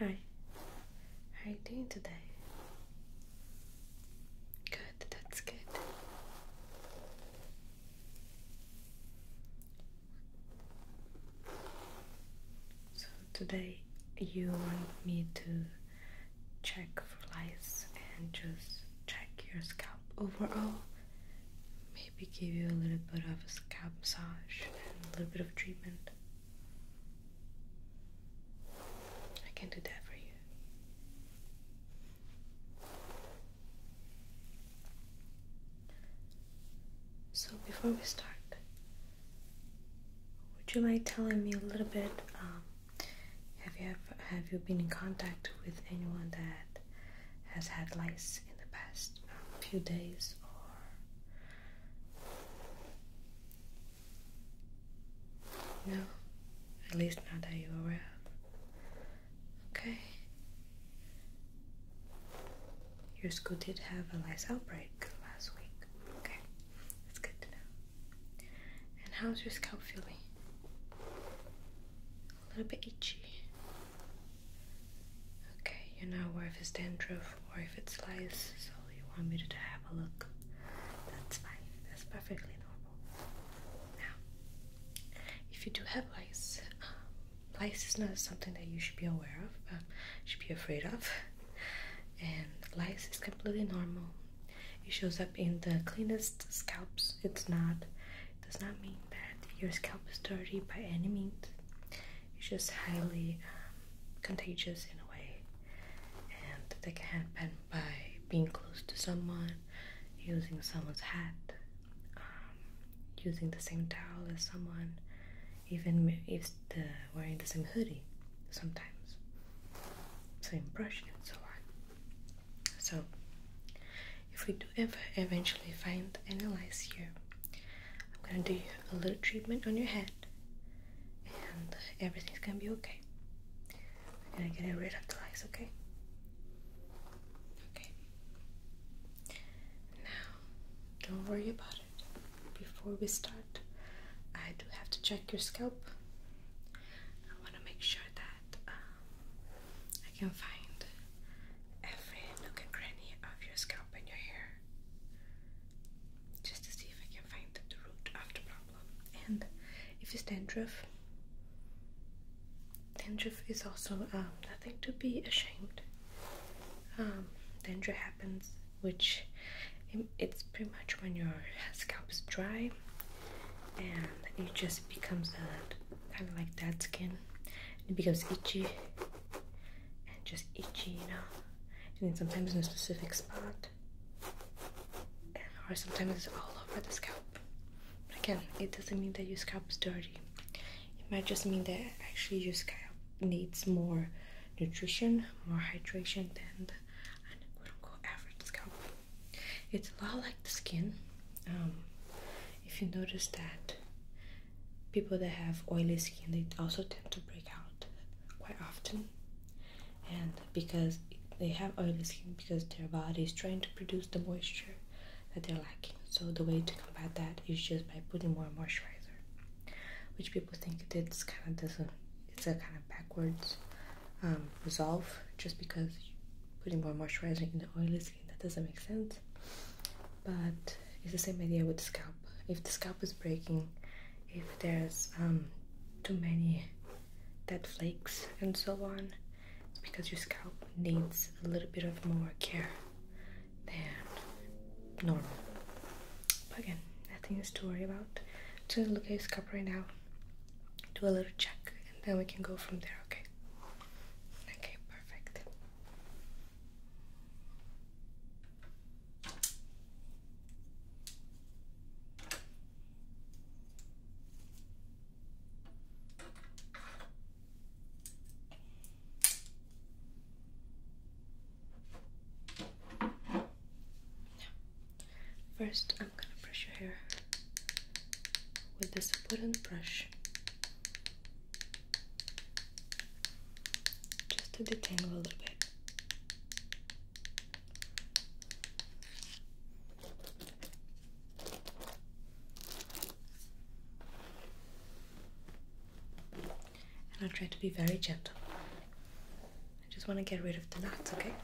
Hi, how are you doing today? Good, that's good. So today you want me to check for lice and just check your scalp overall. Maybe give you a little bit of a scalp massage and a little bit of treatment. I can do that for you. So, before we start, would you mind telling me a little bit? Um, have you ever, have you been in contact with anyone that has had lice in the past um, few days or no, at least not that you're aware of. Okay. Your school did have a lice outbreak last week. Okay, that's good to know. And how's your scalp feeling? A little bit itchy. Okay, you're not aware if it's dandruff or if it's lice, so you want me to have a look. That's fine. That's perfectly normal. Now, if you do have lice, lice um, is not something that you should be aware of, um, should be afraid of. And lice is completely normal. It shows up in the cleanest scalps. It's not. does not mean that your scalp is dirty by any means. It's just highly um, contagious in a way, and they can happen by being close to someone, using someone's hat, um, using the same towel as someone, even if wearing the same hoodie sometimes, same brush and so on. So, if we do ever eventually find analyze here, I'm gonna do a little treatment on your head and everything's gonna be okay. I'm gonna get rid of the lights, okay? Okay. Now, don't worry about it. Before we start, I do have to check your scalp. I want to make sure that um, I can find every nook and cranny of your scalp and your hair just to see if I can find the root of the problem. And if it's dandruff, dandruff is also um, nothing to be ashamed. Um, happens, which um, it's pretty much when your scalp is dry and it just becomes a kind of like that skin. It becomes itchy and just itchy, you know. And then sometimes in a specific spot. Or sometimes it's all over the scalp. But again, it doesn't mean that your scalp is dirty. It might just mean that actually your scalp needs more nutrition, more hydration than the average scalp. It's a lot like the skin. Um, if you notice that people that have oily skin, they also tend to break out quite often and because they have oily skin because their body is trying to produce the moisture that they're lacking so the way to combat that is just by putting more moisturizer which people think it's kind of doesn't it's a kind of backwards um, resolve just because putting more moisturizer in the oily skin that doesn't make sense but it's the same idea with the scalp if the scalp is breaking if there's um, too many Dead flakes and so on, because your scalp needs a little bit of more care than normal. But again, nothing to worry about. Just look at his scalp right now, do a little check, and then we can go from there, okay? Okay, perfect first, I'm gonna brush your hair with this wooden brush just to detangle a little bit. And I try to be very gentle. I just want to get rid of the knots, okay?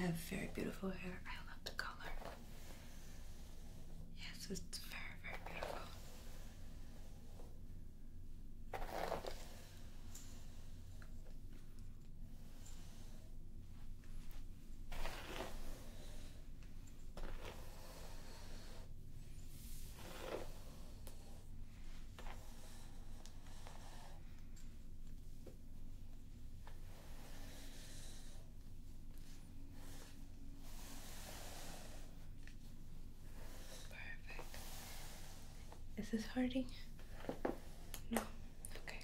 You have very beautiful hair. I love the color. Yes, it's very, very beautiful. Perfect. Is this hurting? No. Okay.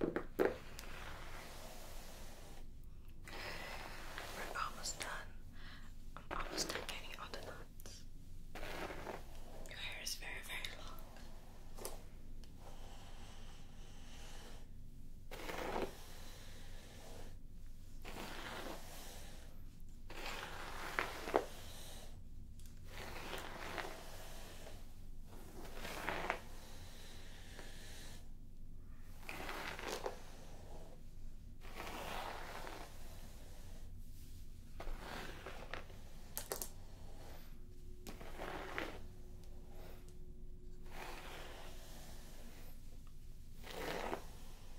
We're almost done. almost done getting all the knots. Your hair is very, very long.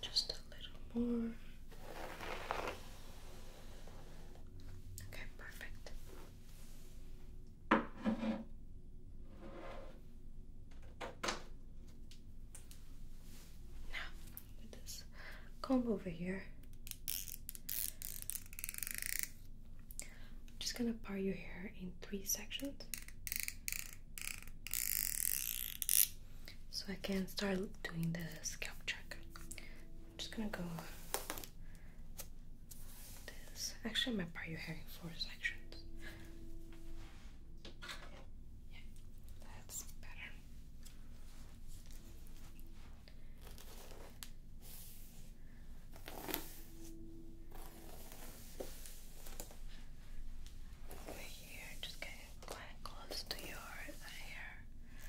Just a little more. Okay, perfect. Now, with this comb over here, I'm just gonna part your hair in three sections. So I can start doing the scalp check. I'm just gonna go like this. Actually, I might part your hair in four sections. Yeah, that's better. Over here, just getting quite close to your hair.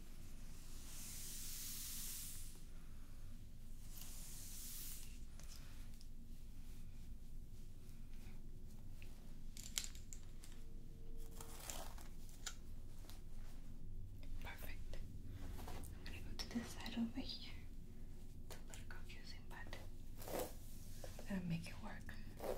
Perfect. I'm gonna go to this side over here. It's a little confusing, but I'm gonna make it work.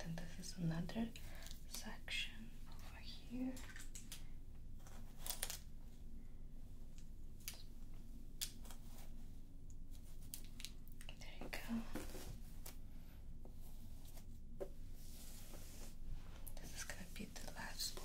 Then this is another section over here. There you go. This is gonna be the last one.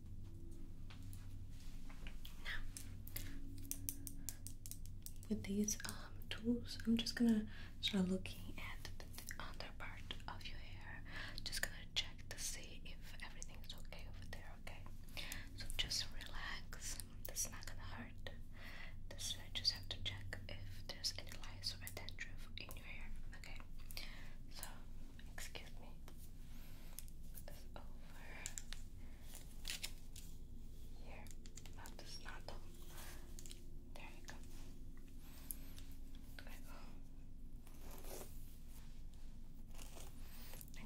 Now, with these um, tools, I'm just gonna start looking at the, the under part of your hair. Just gonna check to see if everything's okay over there, okay? So just relax. This is not gonna hurt. This I just have to check if there's any lice or dandruff in your hair, okay? So Excuse me. this over here. Not this, not the. There you go.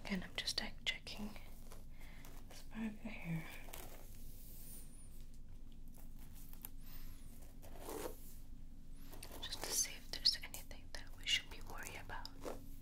Again, I'm just checking this part of your hair. Just to see if there's anything that we should be worried about.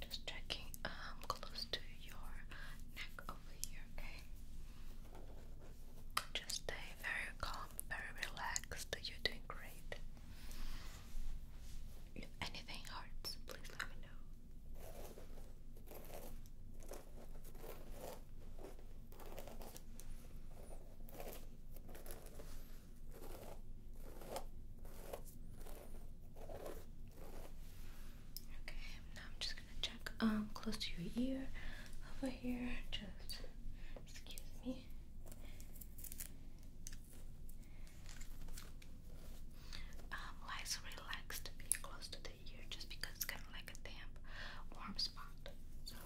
Just checking um close to your neck over here, okay? Just stay very calm, very relaxed. You're doing great. If anything hurts, please let me know. Okay, now I'm just gonna check um close to your ear over here. Just excuse me. Um, lies relaxed close to the ear just because it's kind of like a damp, warm spot. So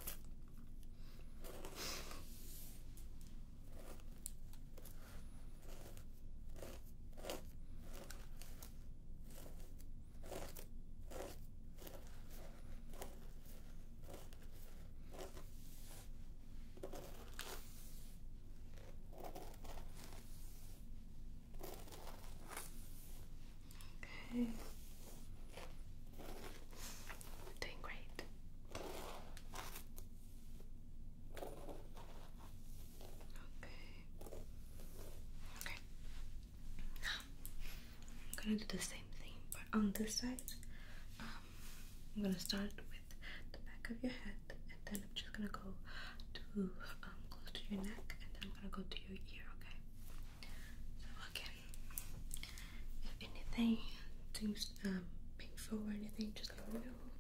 Okay. Doing great. Okay. Okay. I'm gonna do the same thing, but on this side, um, I'm gonna start with the back of your head, and then I'm just gonna go to um, close to your neck, and then I'm gonna go to your ear. Okay. So again, if anything seems um, painful or anything, just let me know.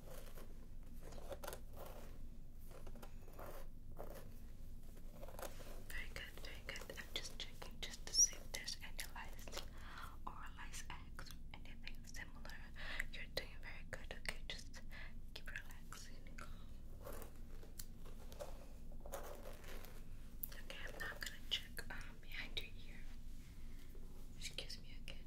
Very good, very good. I'm just checking just to see there's any lice or lice eggs or anything similar. You're doing very good, okay? Just keep relaxing. Okay, I'm now gonna check um, behind your ear. Excuse me again.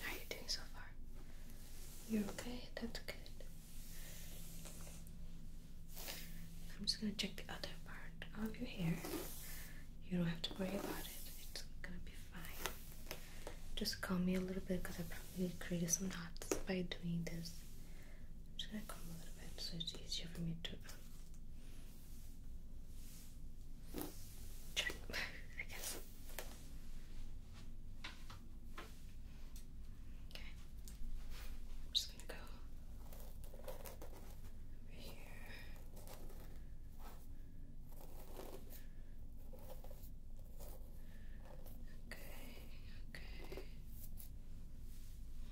how are you doing so far? You're okay? That's good. I'm just gonna check the other part of your hair. You don't have to worry about it, it's gonna be fine. Just comb me a little bit because I probably created some knots by doing this. I'm just gonna comb a little bit so it's easier for me to um, Check, I guess. Okay. I'm just gonna go over here. Okay, okay.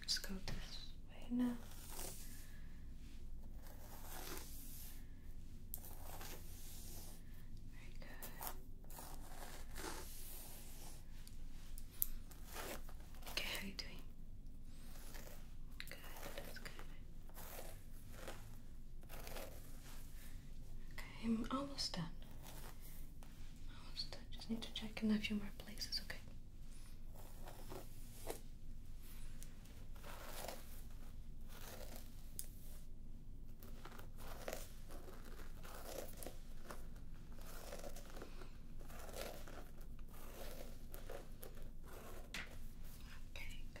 Let's go this way now. Very good. Okay, how are you doing? Good, that's good. Okay, I'm almost done. Almost done. Just need to check in a few more places, okay? Okay, Okay, good. Okay. Okay.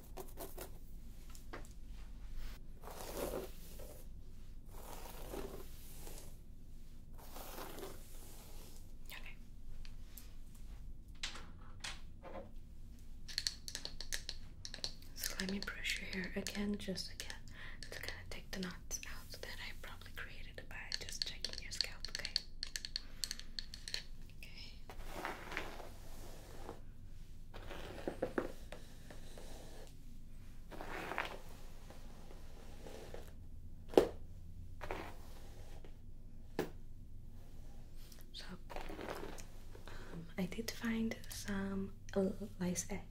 Okay. So let me brush your hair again, just again, to kind of take the knots out that I probably created by just checking your scalp, okay? Okay. So um, I did find some lice eggs,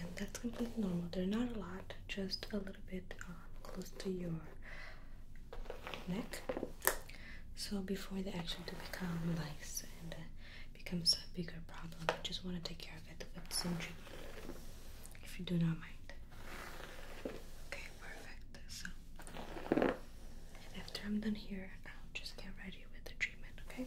and that's completely normal. They're not a lot, just a little bit um, close to your neck so before the action to become lice and uh, becomes a bigger problem I just want to take care of it with some treatment if you do not mind okay perfect so after I'm done here I'll just get ready with the treatment Okay,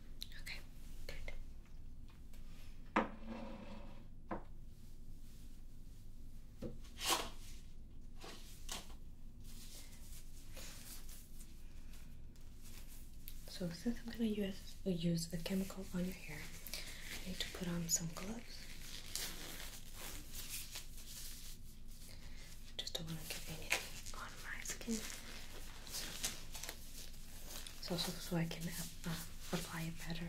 Okay, good. So since I'm gonna use use a chemical on your hair, I need to put on some gloves. just don't want to get anything my skin. So, so, so I can uh, uh, apply it better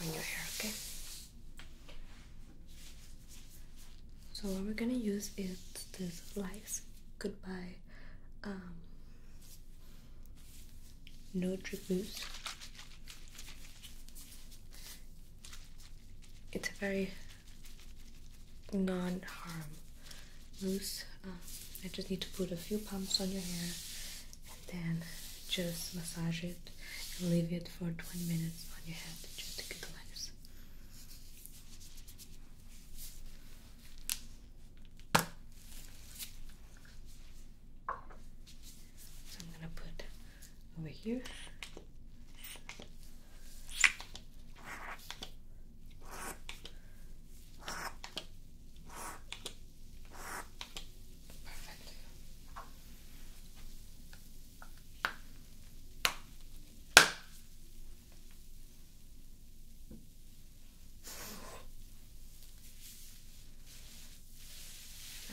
on your hair, okay? So what we're gonna use is this Life's Goodbye um, No Drip It's a very non-harm Loose. Uh, I just need to put a few pumps on your hair and then just massage it and leave it for 20 minutes on your head just to get the lines. So I'm gonna put over here.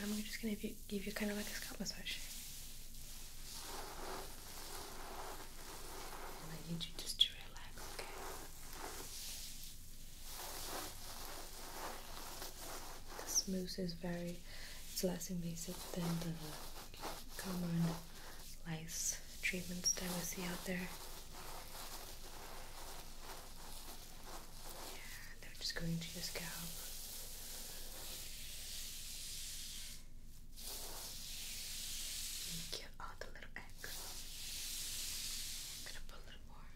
I'm just gonna give you kind of like a scalp massage. And I need you just to relax, okay? The smooth is very, it's less invasive than the common lice treatments that we see out there. Yeah, they're just going to your scalp. Get all oh, the little egg. I'm gonna put a little more.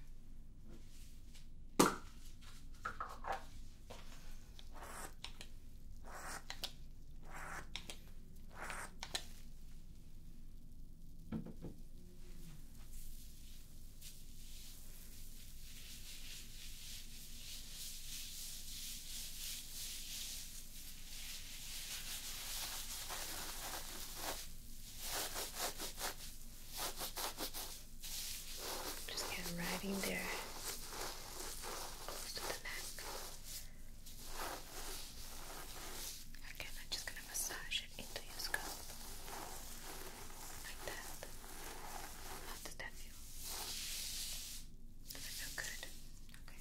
Okay, just get right in there, close to the neck. Again, I'm just gonna massage it into your scalp, like that. How does that feel? Does it feel good? Okay.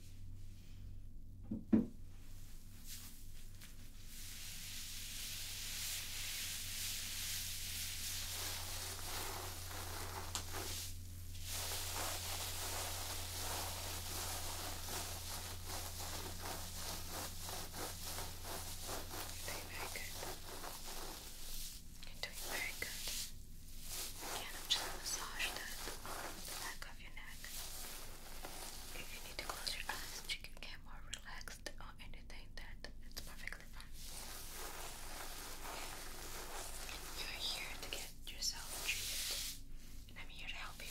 You're doing very good. You're doing very good. I'm just gonna massage that the back of your neck. If you need to close your eyes so you can get more relaxed or anything, that it's perfectly fine. You're here to get yourself treated, and I'm here to help you.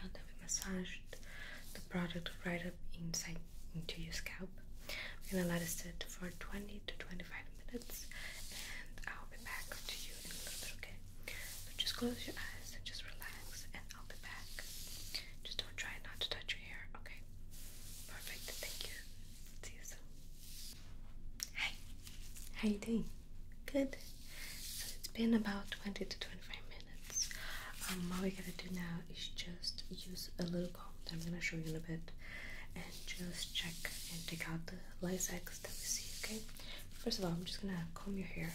Now that we massaged the product right up inside into your scalp, we're gonna let it sit for 20 to 25 minutes and I'll be back to you in a little bit, okay? So just close your eyes and just relax and I'll be back. Just don't try not to touch your hair, okay? Perfect, thank you. See you soon. Hi, how you doing? Good. So it's been about 20 to 25 minutes minutes. what um, we're gonna do now is just use a little comb that I'm gonna show you in a bit and just check and take out the lilacs that we see, okay? First of all, I'm just gonna comb your hair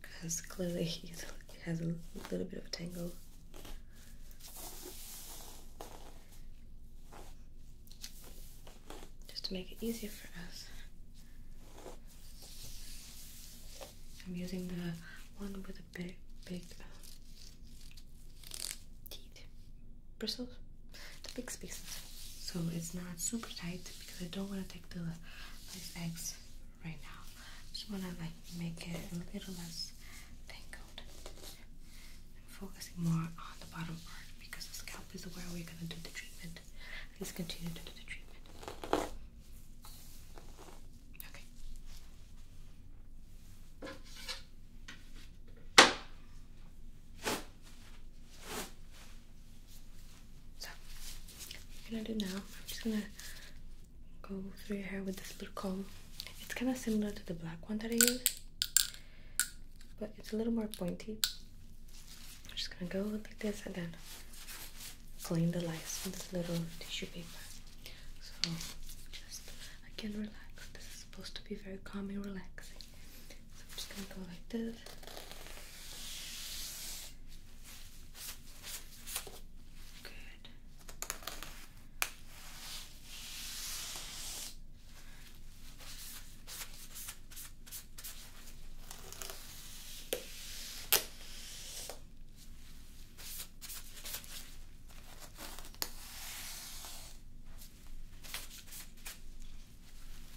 because clearly it has a little bit of a tangle. Just to make it easier for us, I'm using the one with the big, big uh, bristles, the big spaces. So it's not super tight because I don't want to take the these eggs right now. Just want to like make it a little less tangled. I'm focusing more on the bottom part because the scalp is where we're gonna do the treatment. He's Please continue to do the treatment. Okay. So, i gonna do now, I'm just gonna go through your hair with this little comb. It's kind of similar to the black one that I use, but it's a little more pointy. I'm just gonna go like this and then clean the lice with this little tissue paper. So just again relax. This is supposed to be very calming, relaxing. So I'm just gonna go like this. Good. I'm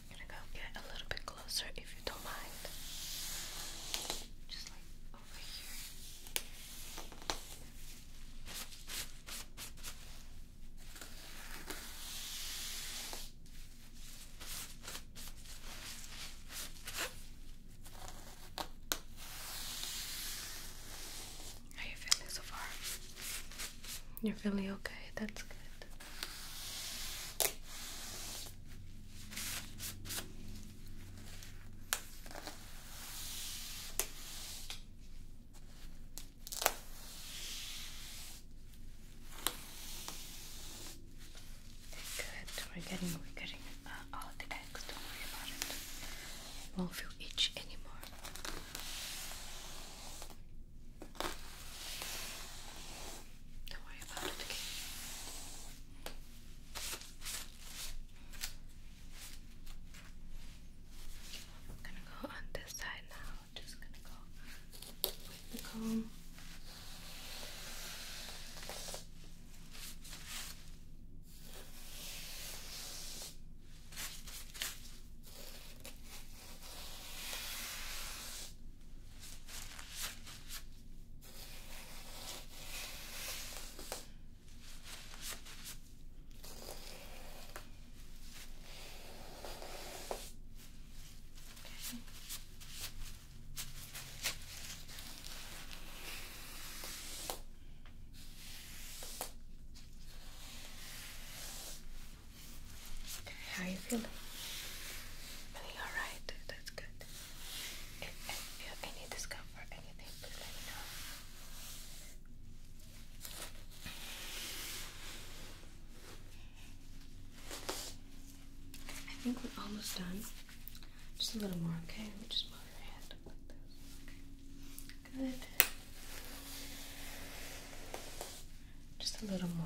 gonna go get a little bit closer if you don't mind. Just like over here. How you feeling so far? You're feeling okay, that's good. Good. We're getting we're getting uh, all the eggs. Don't worry about it. You won't feel itchy anymore. Don't worry about it. Okay. I'm gonna go on this side now. Just gonna go the calm. Okay how are you feeling? Feeling alright, that's good. If, you have any discomfort, anything, please let me know. I think we're almost done. Just a little more, okay? just move your hand Good. Just a little more.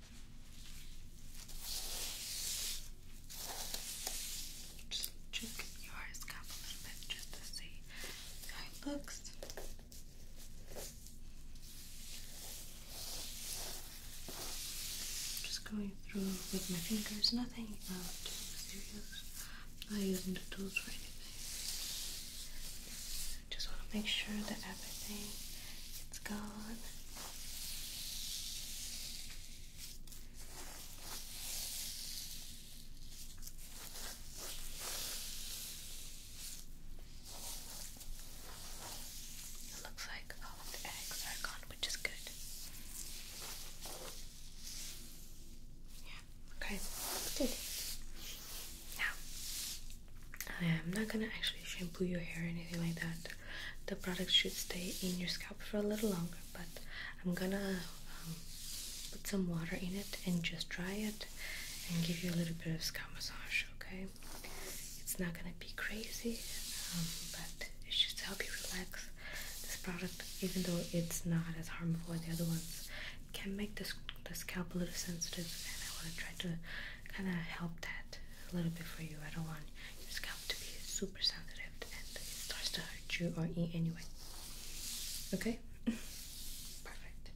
Just check your scalp a little bit just to see how it looks. Just going through with my fingers, nothing um, too serious. I'm not using the tools for anything. Just want to make sure that everything it's gone. It looks like all the eggs are gone, which is good. Yeah, okay, good. Now, I'm not gonna actually shampoo your hair or anything like that the product should stay in your scalp for a little longer. But I'm gonna um, put some water in it and just dry it and give you a little bit of scalp massage. Okay, it's not gonna be crazy, um, but it should help you relax. This product, even though it's not as harmful as the other ones, can make this the scalp a little sensitive, and I want to try to kind of help that a little bit for you. I don't want your scalp to be super sensitive and it starts to hurt you or eat anyway. Okay? Perfect.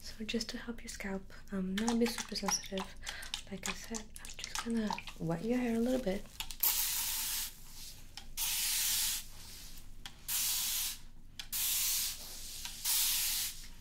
So just to help your scalp um, not be super sensitive, like I said, I'm just gonna wet your hair a little bit.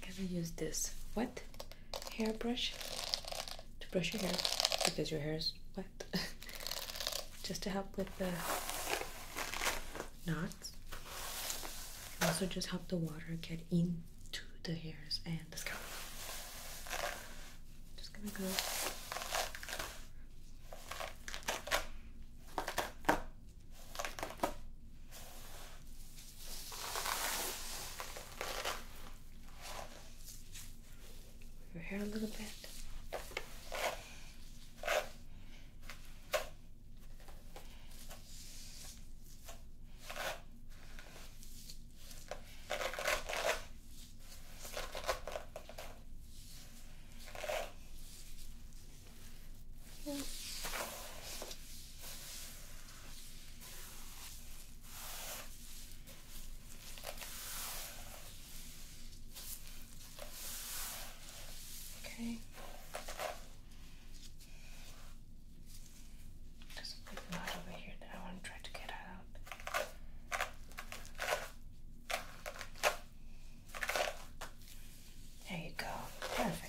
gonna use this wet hairbrush to brush your hair because your hair is wet just to help with the knots also just help the water get into the hairs and just gonna go over here a little bit. Yeah. Okay. There's a big knot over here that I want to try to get out. There you go. Perfect.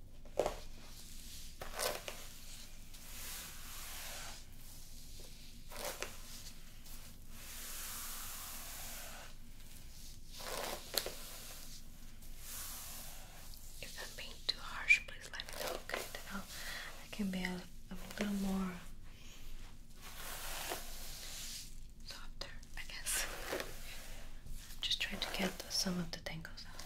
If I'm being too harsh, please let me know. Okay, then i can be a little more softer, I guess. Just trying to get some of the tangles out.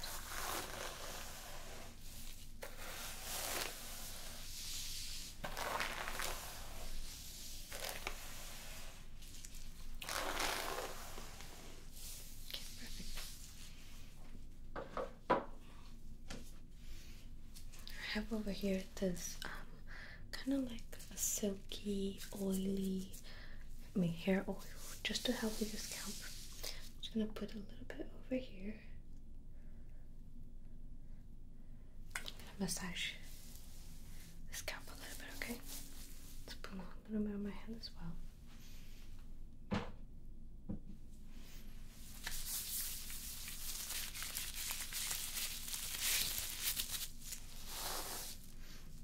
perfect. I have over here this um, kind of like a silky, oily my hair oil just to help with your scalp. I'm just gonna put a little bit over here. massage the scalp a little bit, okay? Let's put a little bit on my hand as well.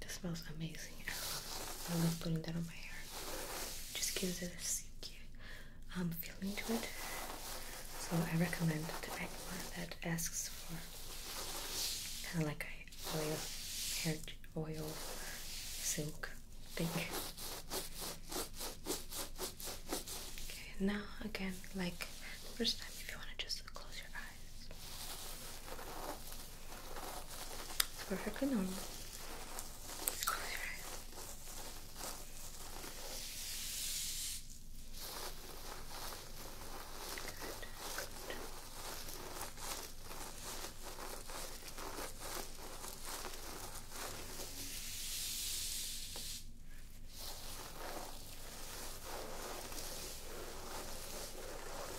This smells amazing. I love putting that on my hair just gives it a silky feeling to it. So I recommend to anyone that asks for kind of like a oil hair oil silk thing. Okay, now again, like the first time, if you want to just close your eyes. It's perfectly normal. Just Good.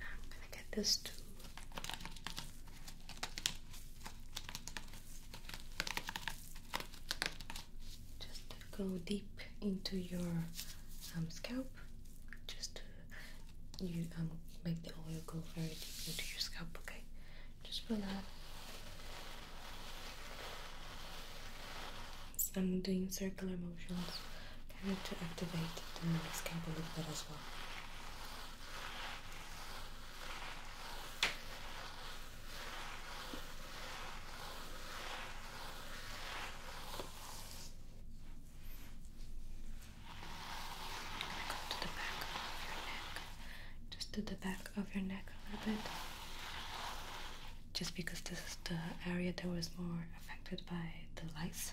I'm gonna get this too. Just go deep into your um, scalp. Just uh, you um, make the oil go very deep into your scalp. Okay, just relax. I'm doing circular motions kind of to activate the scalp a little bit as well. Go to the back of your neck. Just to the back of your neck a little bit. Just because this is the area that was more affected by the lice.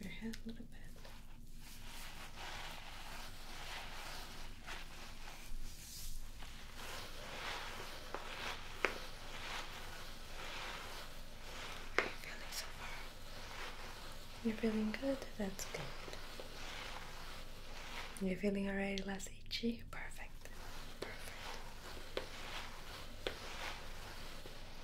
your head a little bit. How are you feeling so far? You're feeling good? That's good. You're feeling already less itchy? Perfect. Perfect.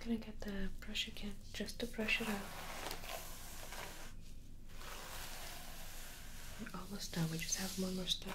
I'm gonna get the brush again just to brush it out. We're almost done, we just have one more step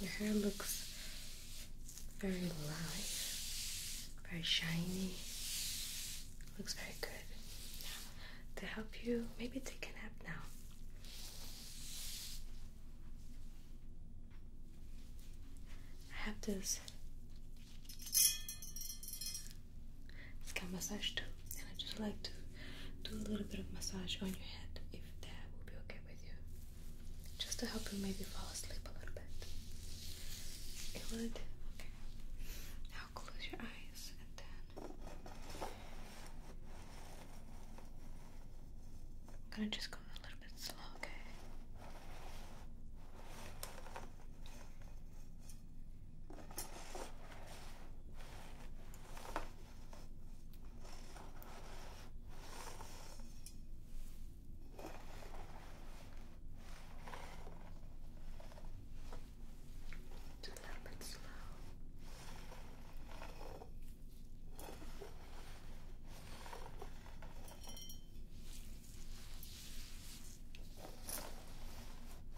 your hair looks very live, very shiny. Looks very good. to help you, maybe take a nap now. I have this scalp massage too and I just like to do a little bit of massage on your head if that will be okay with you. Just to help you maybe fall asleep a little bit. It Okay. Now close your eyes and then I'm gonna just go a little bit slow, Okay. It's a little bit slow. Okay.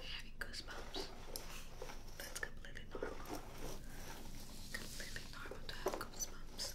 Having goosebumps. That's completely normal. Completely normal to have goosebumps.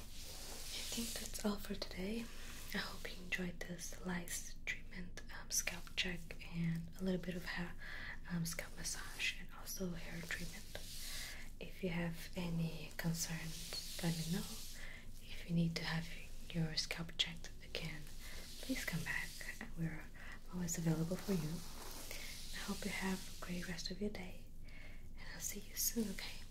I think that's all for today. I hope you enjoyed this lice treatment, um, scalp check, and a little bit of hair um, scalp massage, and also hair treatment. If you have any concerns, let me know. If you need to have your scalp checked again, please come back. We're always available for you. I hope you have a great rest of your day, and I'll see you soon, okay?